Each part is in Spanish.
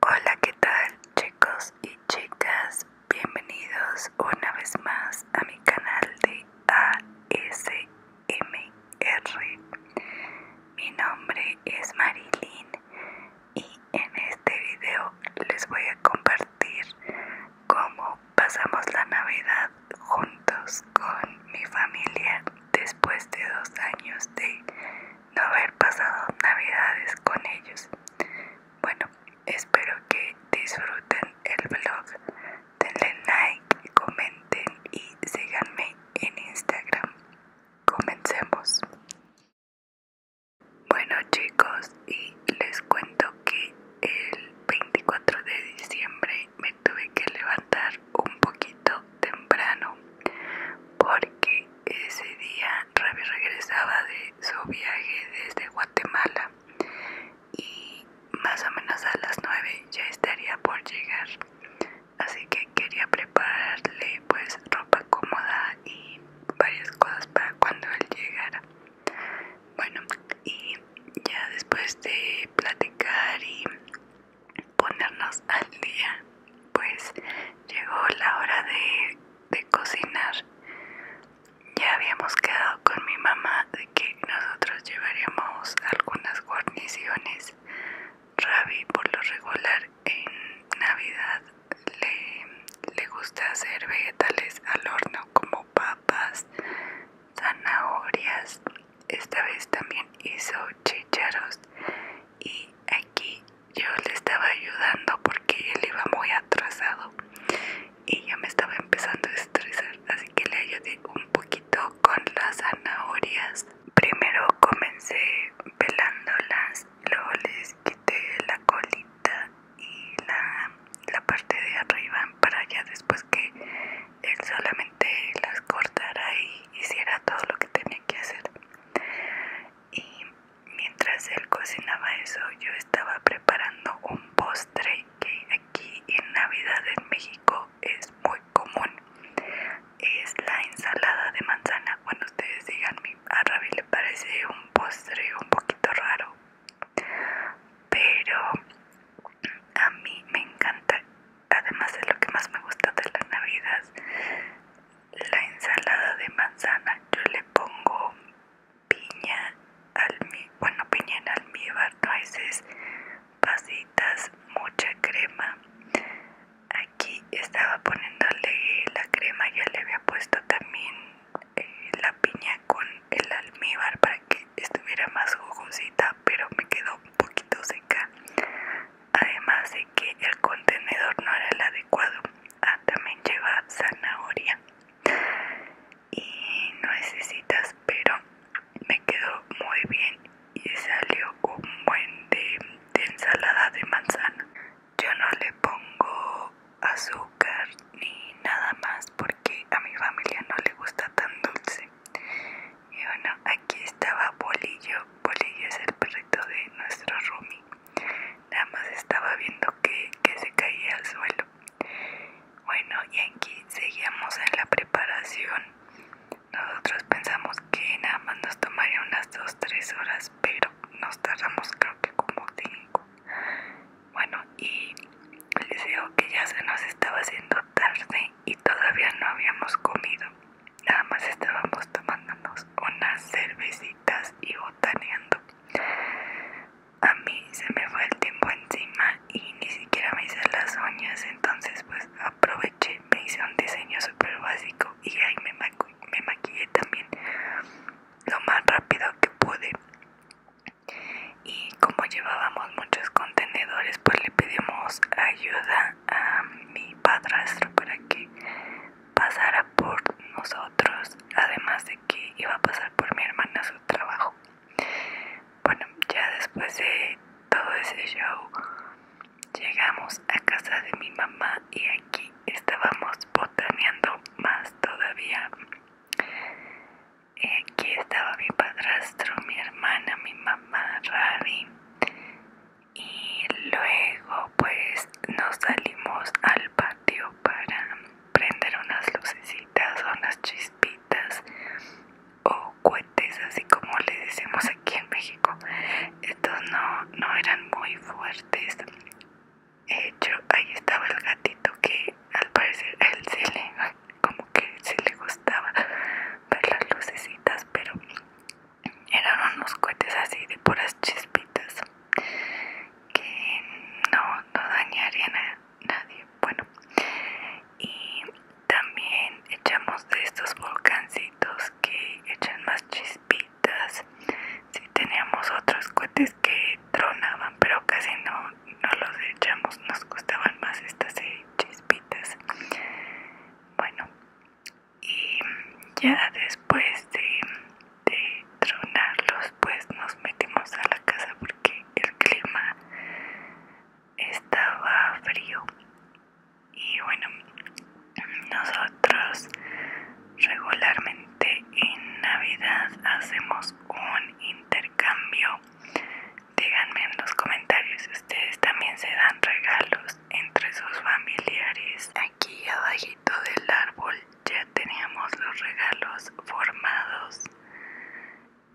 Hola, ¿qué tal chicos y chicas? Bienvenidos una vez más a mi canal de ASMR. Mi nombre es Marilyn y en este video les voy a compartir cómo pasamos la Navidad juntos con mi familia después de dos años de no haber pasado navidades con ellos. Bueno, espero que disfruten el vlog, denle like, comenten y síganme en Instagram. Comencemos. Bueno chicos, y les cuento que el 24 de diciembre me tuve que levantar un poquito temprano porque ese día Ravi regresaba de su viaje desde Guatemala y más o menos a las 9 ya estaría por llegar así que quería prepararle pues ropa cómoda y varias cosas para cuando él llegara bueno y ya después de platicar y ponernos al día pues llegó la hora de, cocinar ya habíamos quedado con mi mamá de que nosotros llevaríamos algunas guarniciones Ravi por lo regular en navidad le gusta hacer vegetales al horno como papas zanahorias esta vez también hizo chicharos y aquí yo le estaba ayudando porque él iba muy atrasado y ya me estaba empezando a estresar así que le ayudé un poquito con las zanahorias primero comencé pelándolas luego les quité la colita y la, la parte de arriba para ya después que él solamente las cortara y hiciera todo lo que tenía que hacer. Y mientras él cocinaba eso, yo estaba preparando un postre que aquí en Navidad en México es muy común. Es la ensalada de manzana. cuando ustedes digan a rabi le parece un postre un poquito raro, pero a mí me encanta además de lo que más me gusta de las Navidades, la ensalada de manzana yo le pongo piña bueno piña en almíbar veces pasitas mucha crema aquí estaba poniéndole la crema ya le había puesto también eh, la piña con el almíbar para que estuviera más jugosita pero me quedó un poquito seca además de que el contenedor no era el adecuado ah, también lleva zanahoria y no necesitas pero me quedó muy bien y salió un buen de ensalada de manzana yo no le pongo azúcar ni nada más porque a mi familia no le gusta tan dulce y bueno, aquí estaba Bolillo. Bolillo es el perrito de nuestro Rumi. Nada más estaba viendo que, que se caía al suelo. Bueno, y aquí seguíamos en la preparación. Nosotros pensamos que nada más nos tomaría unas 2-3 horas, pero nos tardamos creo que como 5. Bueno, y les digo que ya se nos estaba haciendo tarde y todavía no habíamos comido. Nada más estábamos tomándonos unas cervecitas y botaneando. A mí se me fue el tiempo encima y ni siquiera me hice las uñas, entonces pues aproveché, me hice un diseño súper básico y ahí me, me maquillé también lo más rápido que pude y como llevábamos muchos contenedores pues le pedimos ayuda a mi padrastro para que pasara por nosotros además de que iba a pasar por mi hermana su trabajo bueno ya después de todo ese show llegamos a casa de mi mamá y aquí estábamos botaneando más todavía aquí estaba mi padrastro, mi hermana, mi mamá, Ravi. Y luego pues nos salimos al patio para prender unas lucecitas o unas chispitas o cohetes así como le decimos aquí en México. Estos no, no eran muy fuertes hecho, ahí estaba el gatito que al parecer a él se le, como que se le gustaba ver las lucecitas, pero eran unos cohetes así de puras chispitas que no, no dañarían a nadie. Bueno, y también echamos de estos volcancitos que echan más chispitas si teníamos otros cohetes que tronaban pero casi no, los echamos nos costaban más estas eh, chispitas bueno y ya después de, de tronarlos pues nos metimos a la casa porque el clima estaba frío y bueno nosotros regularmente en navidad hacemos un intercambio díganme en los comentarios si ustedes también se dan regalos entre sus familiares aquí abajito del árbol ya teníamos los regalos formados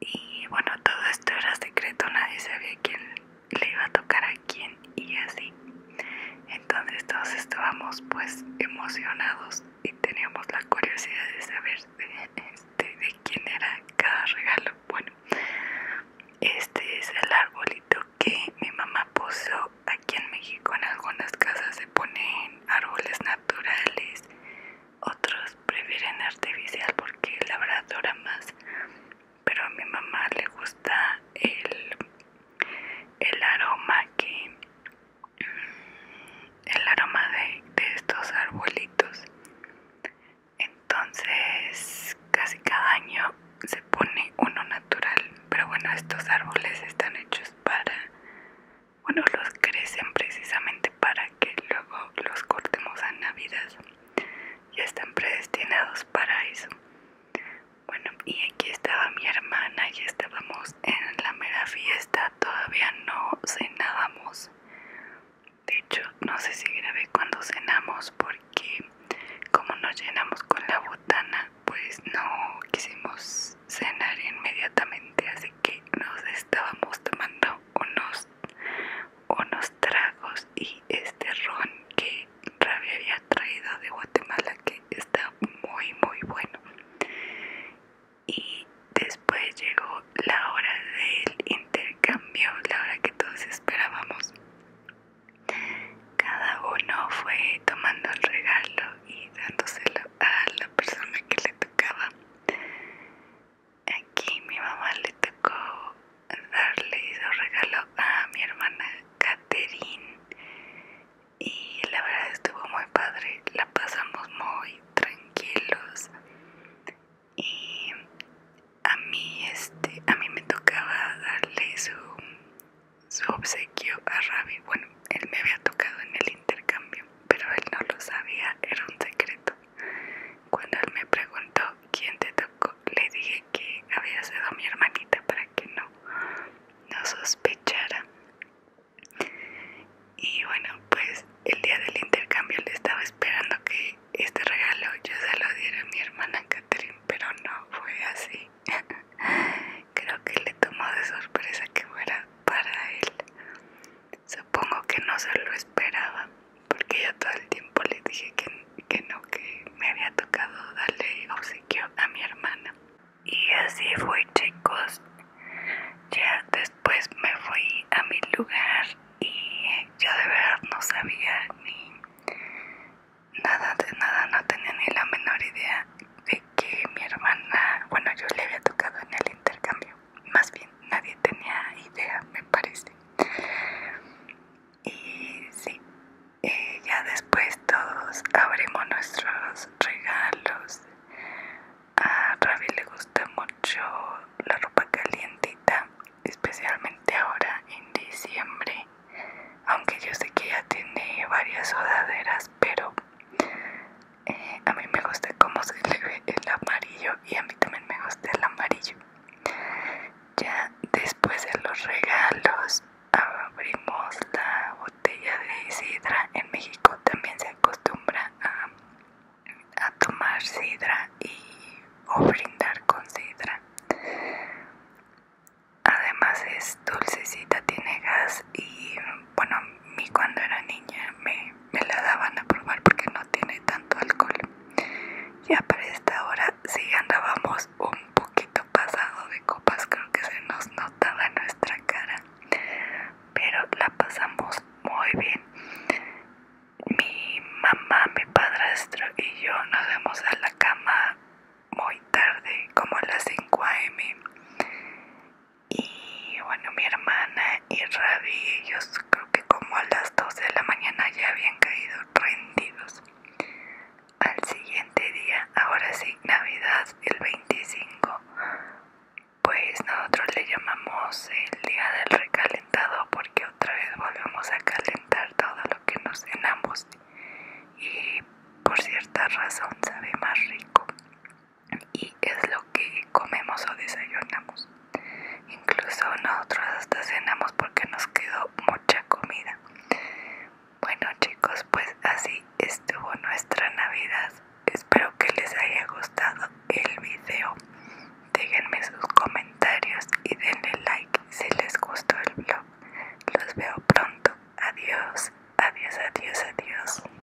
y bueno todo esto era secreto nadie sabía quién le iba a tocar a quién y así. Entonces todos estábamos pues emocionados y teníamos la curiosidad de saber de, este, de quién era cada regalo. Bueno, este es el arbolito que mi mamá puso aquí en México. En algunas casas se ponen árboles naturales, otros prefieren artificial porque la verdad más. Pero a mi mamá le gusta el el aroma que mm, el aroma de, estos arbolitos entonces casi cada año se pone uno natural pero bueno estos árboles están hechos para bueno los crecen precisamente para que luego los cortemos a navidad Y están predestinados para eso bueno, y aquí estaba mi hermana, ya estábamos en la mera fiesta, todavía no cenábamos. De hecho, no sé si grabé cuando cenamos porque como nos llenamos con la botana, pues no quisimos cenar inmediatamente, así que nos estábamos tomando unos tragos y este ron que Rabia había traído de Guatemala que está muy muy bueno y después llegó la hora del intercambio la hora que todos esperábamos cada uno fue tomando el regalo y dándoselo a la persona que le tocaba aquí mi mamá le tocó darle su regalo a mi hermana Catherine y la verdad estuvo muy padre, la pasamos muy tranquilos y a mí este a mí me tocaba darle su, su obsequio a Ravi, bueno él me había tocado en el intercambio pero él no lo sabía, era un secreto. Cuando él me preguntó quién te tocó, le dije que había sido mi hermanita para que no, no sospechara. Y bueno, pues el día del intercambio le estaba esperando que este regalo yo se lo diera a mi hermana Catherine, pero no fue así. Creo que le tomó de sorpresa que fuera para él. Supongo que no se lo esperaba porque yo todo el tiempo le dije que, no, que me había tocado darle obsequio a mi hermana. Y así fue chicos, ya después me fui a mi lugar y yo de verdad no sabía ni nada de nada, no tenía ni la menor idea de que mi hermana, bueno yo le había tocado en el intercambio, más bien nadie tenía idea me parece. Y sí, ya después todos abrimos nuestros regalos. A Ravi le gusta mucho la ropa calientita, especialmente ahora en diciembre. Aunque yo sé que ya tiene varias sudaderas, pero eh, a mí me gusta cómo se le ve el amarillo y a mí también me gusta el amarillo. Ya después de los regalos abrimos la botella de sidra. En México también se acostumbra a, tomar sidra y o brindar con sidra. Además es dulcecita, tiene gas y bueno, a cuando era niña me me la daban a probar porque no tiene tanto alcohol. Ya para esta hora sí andábamos un poquito pasado de copas, creo que se nos notaba nuestra cara, pero la pasamos muy bien. Mi mamá, mi padrastro y yo nos vemos a la cama muy tarde, como a las 5 am y bueno mi hermana y Rabi, ellos creo que como a las 12 de la mañana ya habían caído rendidos al siguiente día ahora sí navidad el 25 pues nosotros le llamamos el día del recalentado porque otra vez volvemos a calentar todo lo que nos cenamos y por cierta razón sabe más rico y es lo que comemos o desayunamos. Incluso nosotros hasta cenamos porque nos quedó mucha comida. Bueno chicos, pues así estuvo nuestra Navidad. Espero que les haya gustado el video. Déjenme sus comentarios y denle like si les gustó el vlog. Los veo pronto. Adiós, adiós, adiós, adiós.